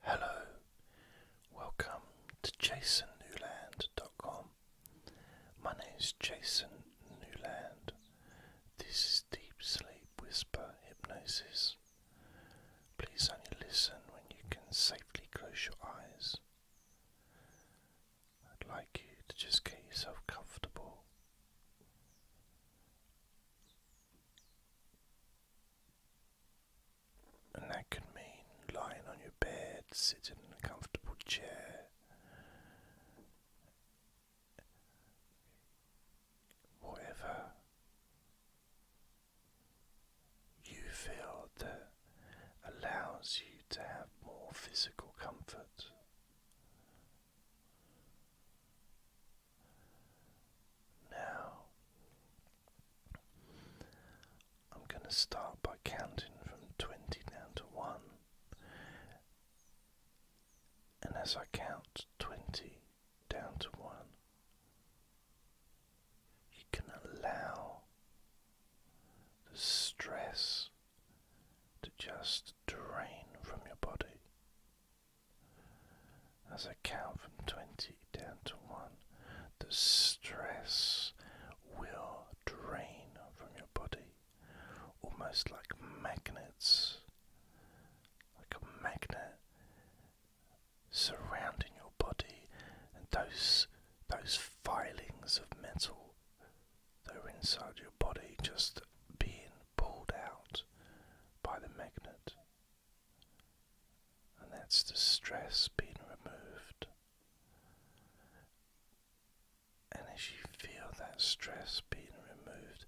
Hello, welcome to jasonnewland.com. My name is Jason Newland. This is Deep Sleep Whisper Hypnosis. Please only listen when you can safely close your eyes. I'd like you to just get yourself comfortable and that can mean lying on your bed, sitting in a comfortable chair, whatever you feel that allows you to have more physical comfort. Now, I'm going to start by counting from 20 down to 1. And as I count 20 down to 1, you can allow the stress to just drain from your body as I count from 20 down to 1, the stress will drain from your body almost like magnets, like a magnet surrounding your body, and those, those filings of metal that are inside your body just being pulled out by the magnet and that's the stress being removed. And as you feel that stress being removed,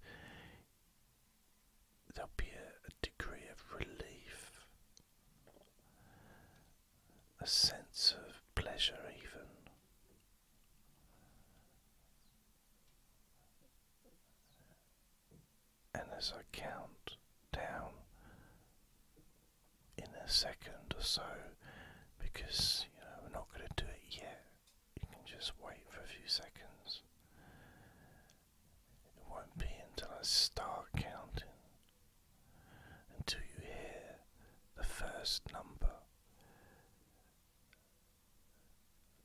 there'll be a, degree of relief, a sense of pleasure, even and as I count down in a second or so, because you know we're not going to do it yet, you can just wait for a few seconds. It won't be until I start counting until you hear the first number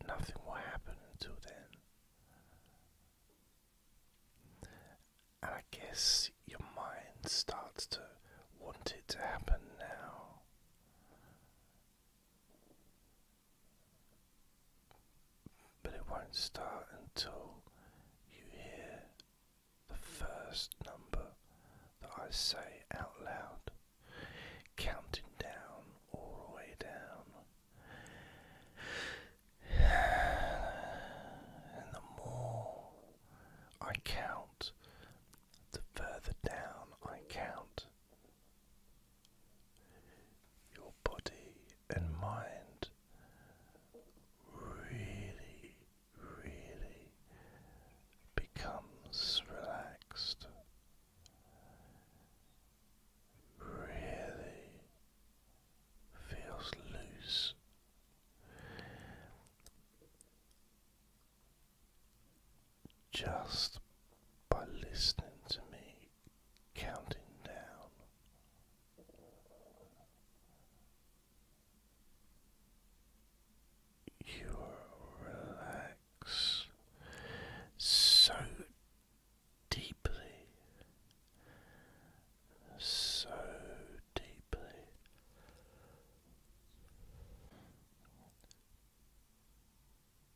nothing will happen until then. And I guess your mind starts to want it to happen now. But it won't start until you hear the first number that I say out loud, counting down all the way down. And the more I count, the further down I count. Your body and mind really, really becomes relaxed really feels loose. Just by listening to me counting down, you relax so deeply, so deeply.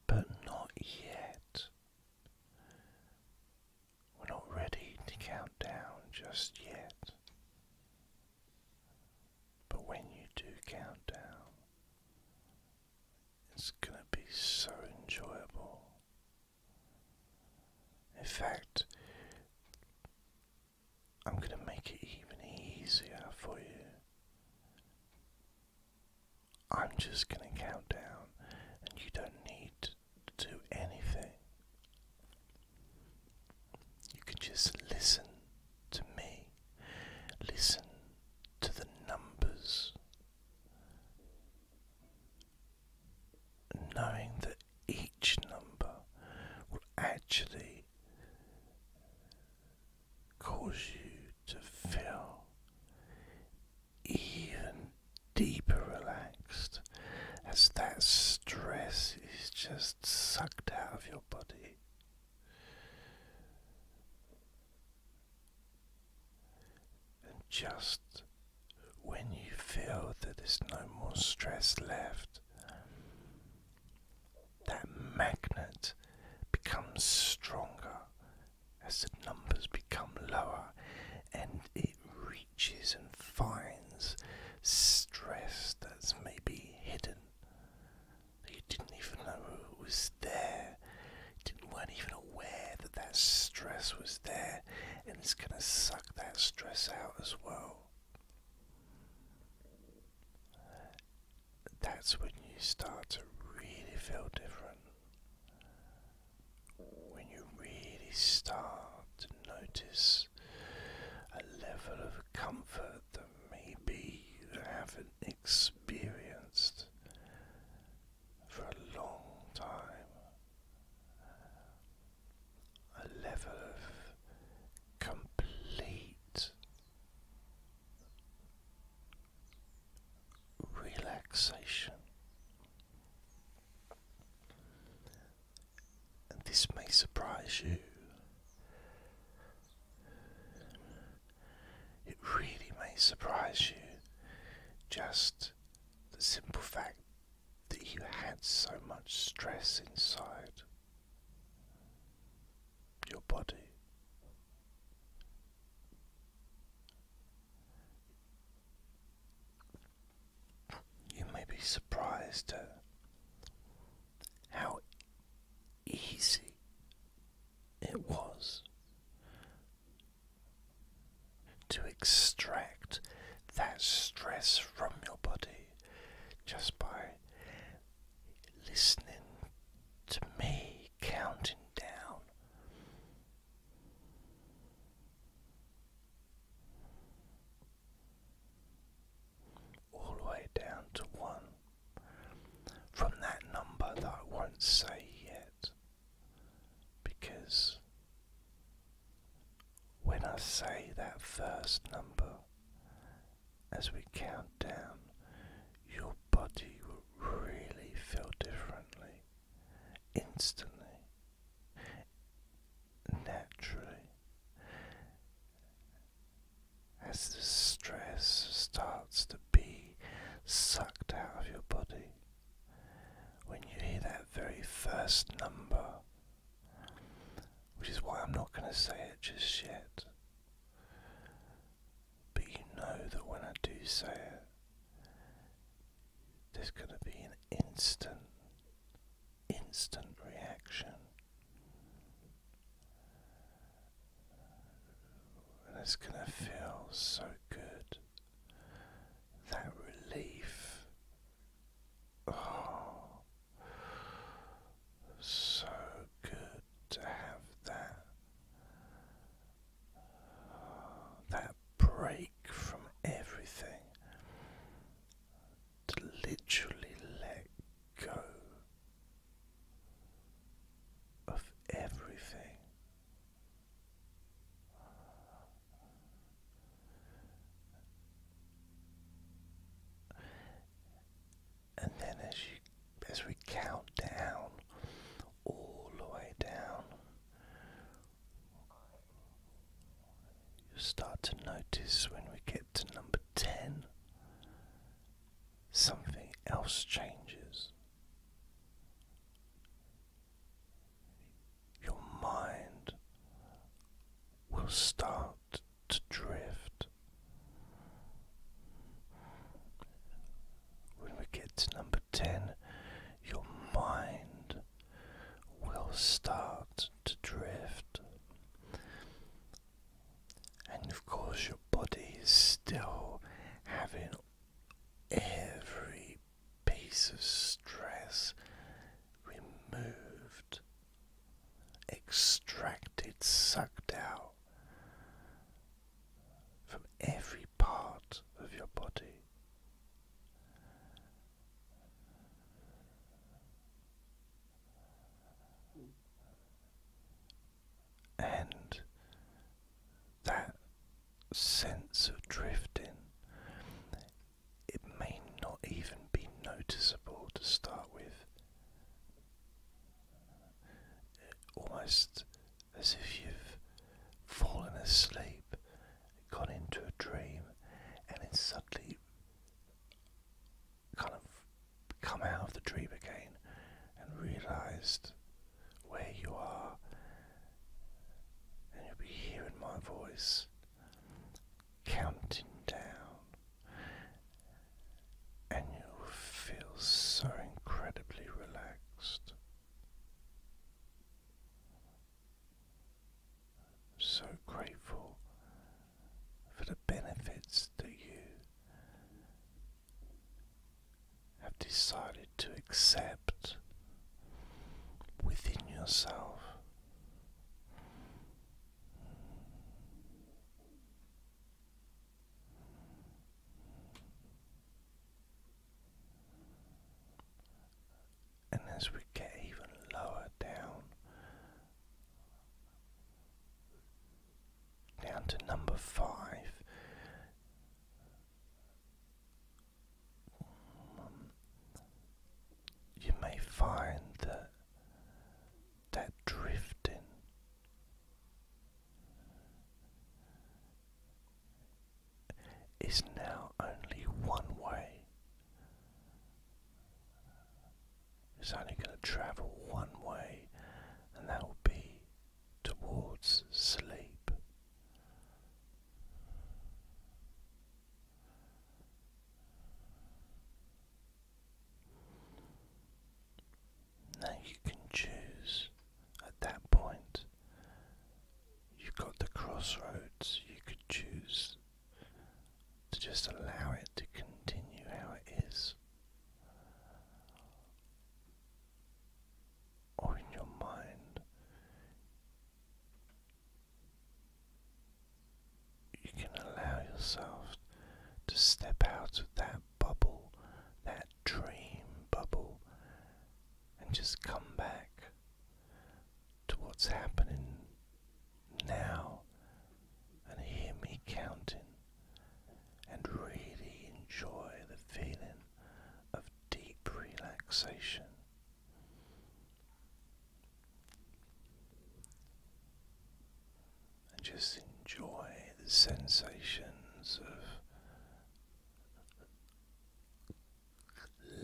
But not yet. We're not ready to count down just yet. But when you do count down, it's going to be so enjoyable. In fact, I'm going to make it even easier for you. I'm just going to count down, and you don't need to do anything. You can just listen to me listen to the numbers, knowing that each number will actually cause you to feel even deeper relaxed as that stress is just sucked out of your body. And just when you feel that there's no more stress left, that magnet becomes stronger as the numbers become lower and it reaches and finds stress that's maybe hidden you didn't even know it was there. You didn't weren't even aware that that stress was there, and it's gonna suck that stress out as well. That's when you start to really feel different. When you really start to notice a level of comfort that maybe you haven't experienced for a long time. A level of complete relaxation. And this may surprise you, it really may surprise you just the simple fact that you had so much stress inside your body. You may be surprised at how easy it was to extract that stress from your body just by listening to me counting down all the way down to 1 from that number that I won't say yet because when I say that first number as we count down, your body will really feel differently instantly. Naturally, as the stress starts to be sucked out of your body. When you hear that very first number, which is why I'm not going to say it just yet, but you know that when I do say it, there's going to be an instant, instant reaction and it's going to feel so good. That relief. Oh, so good to have that. that break from everything. To literally let go of everything. And then as you as we count down all the way down you start to notice when we get to number ten something else changes. Your mind will start to drift. When we get to number 10, your mind will start to drift. And of course, your body is still having every piece of stress removed, extracted, sucked out from every part of your body and that sense of drifting it may not even be noticeable to start with almost as if you've fallen asleep gone into a dream and then suddenly kind of come out of the dream again and realized where you are, and you'll be hearing my voice counting down, and you'll feel so incredibly relaxed. So grateful for the benefits that you have decided to accept within yourself. And as we get even lower down down to number five. You may find that that drifting is now only one way. It's only going to travel one way, and that will be towards sleep. Now you can choose at that point. You've got the crossroads, you could choose to just allow it to continue how it is. Or in your mind, you can allow yourself to step out of that bubble, that dream bubble, and just come back to what's happening now and hear me counting and really enjoy the feeling of deep relaxation. And just enjoy the sensations of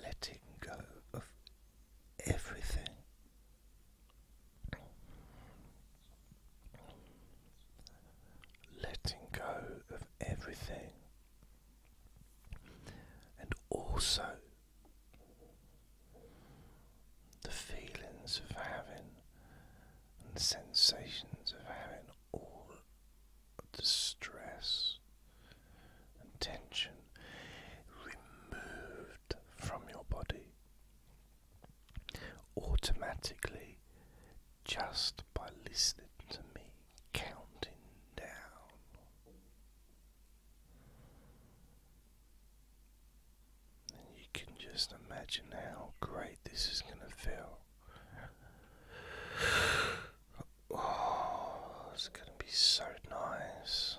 letting go of everything. Letting go of everything, and also the feelings of having and sensations of having all the stress and tension removed from your body automatically just by listening to me counting down. you can just imagine how great this is going to feel. Oh, it's going to be so nice.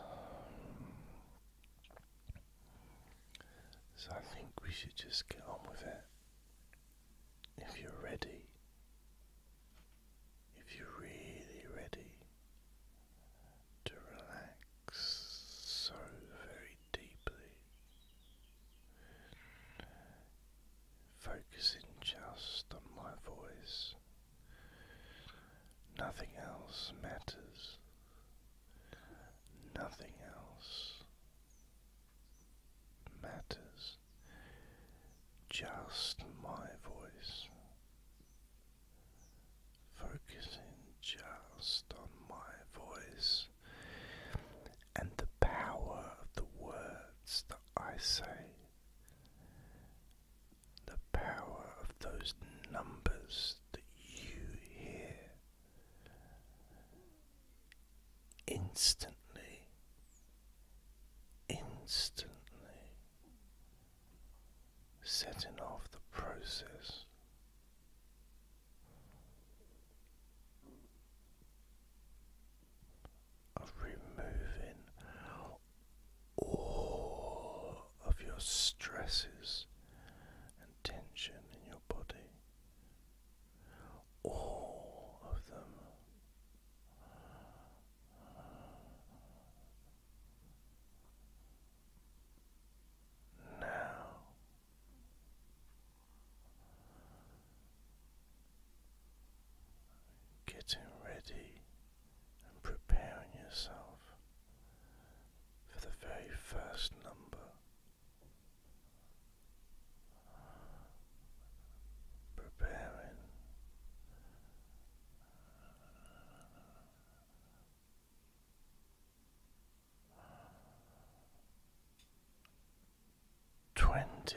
So I think we should just get on with it. If you're ready, if you're really ready to relax so very deeply, focusing just on my voice. Nothing else matters. Nothing else matters. Just my voice. Focusing just on my voice and the power of the words that I say the power of those numbers that you hear instantly, instantly setting off the process. Of removing all of your stresses and tension in your body. All of them. Now getting ready and preparing yourself for the very first number. Preparing twenty.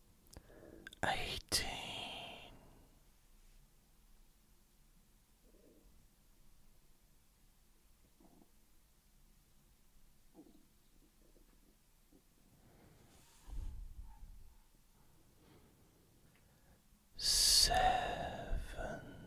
eighteen seventy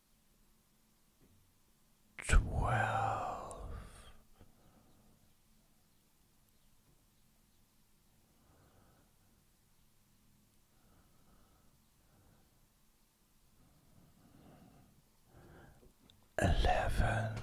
twelve eleven